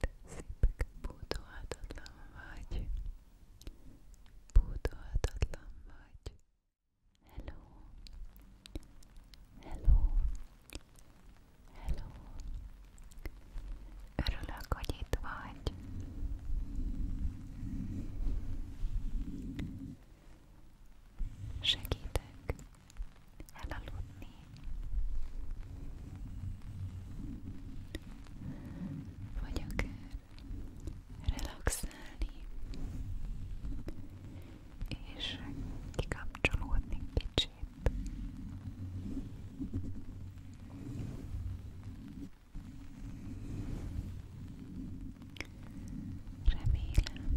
te szép, pótolhatatlan vagy, pótolhatatlan vagy. Hello, hello, hello. Örülök, hogy itt vagy. Segítek, elaludni. Vagy akár relaxálni, és kikapcsolódni kicsit. Remélem,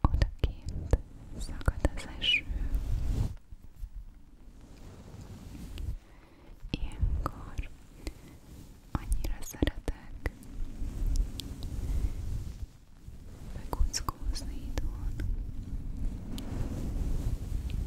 Odakint szakad az eső. Ilyenkor annyira szeretek bekuckózni itthon.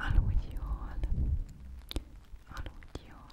all with you all. All with you all.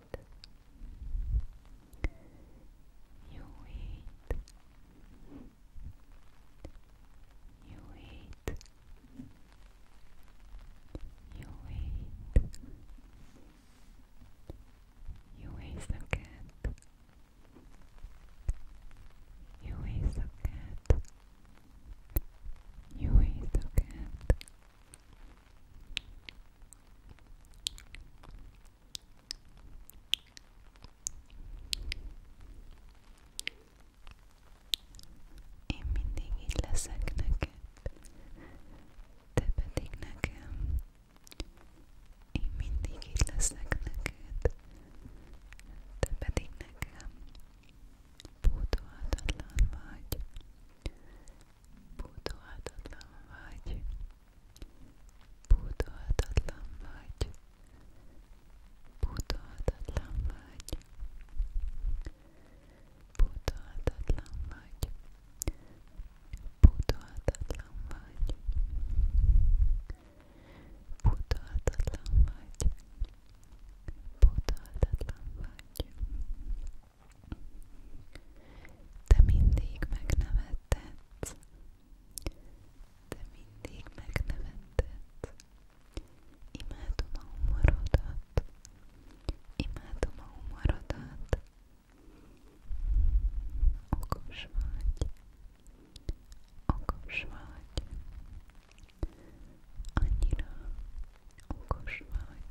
wait. You wait. You wait. You wait. You wait so cat. You wait so cat. You wait so cat. Én mindig így leszek neked, te pedig nekem. Én mindig így leszek neked, te pedig nekem. Pótolhatatlan vagy, Pótolhatatlan vagy, pótolhatatlan vagy, pótolhatatlan vagy, pótolhatatlan vagy, pótolhatatlan vagy, pótolhatatlan vagy, pótolhatatlan vagy. Te mindig megnevetted, de mindig megnevetted. Imádom a humorodat, imádom a humorodat, okos vagy, okos vagy, annyira okos vagy,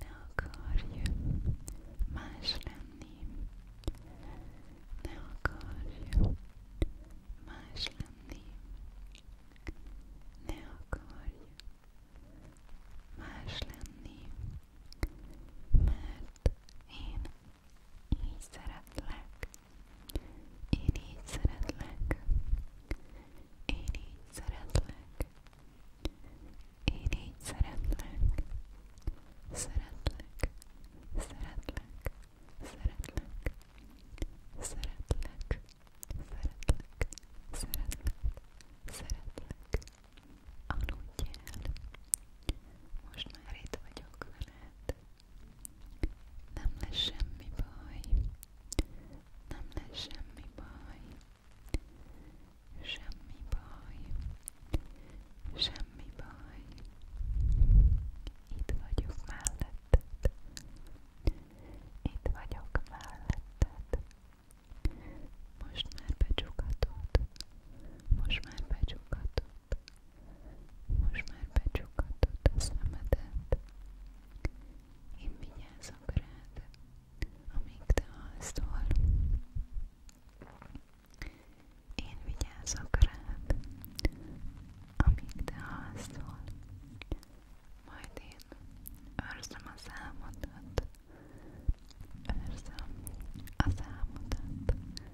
Ne akarj más lenni, ne akarj más lenni, ne akarj más lenni, mert én így szeretlek, én így szeretlek. Én így szeretlek. Én így szeretlek. Szeretlek. Szeretlek. Szeretlek. Szeretlek. Szeretlek. Szeretlek. Szeretlek. Aludj el. Most már itt vagyok veled. Nem lesz semmi baj, nem lesz semmi baj, semmi baj, semmi baj. Itt vagyok melletted, itt vagyok melletted. Most már becsukhatod, most már becsukhatod. Most már becsukhatod a szemedet. Én vigyázok rád, amíg te alszol. Én vigyázok rád, amíg te alszol. Majd én őrzöm az álmodat. Őrzöm az álmodat.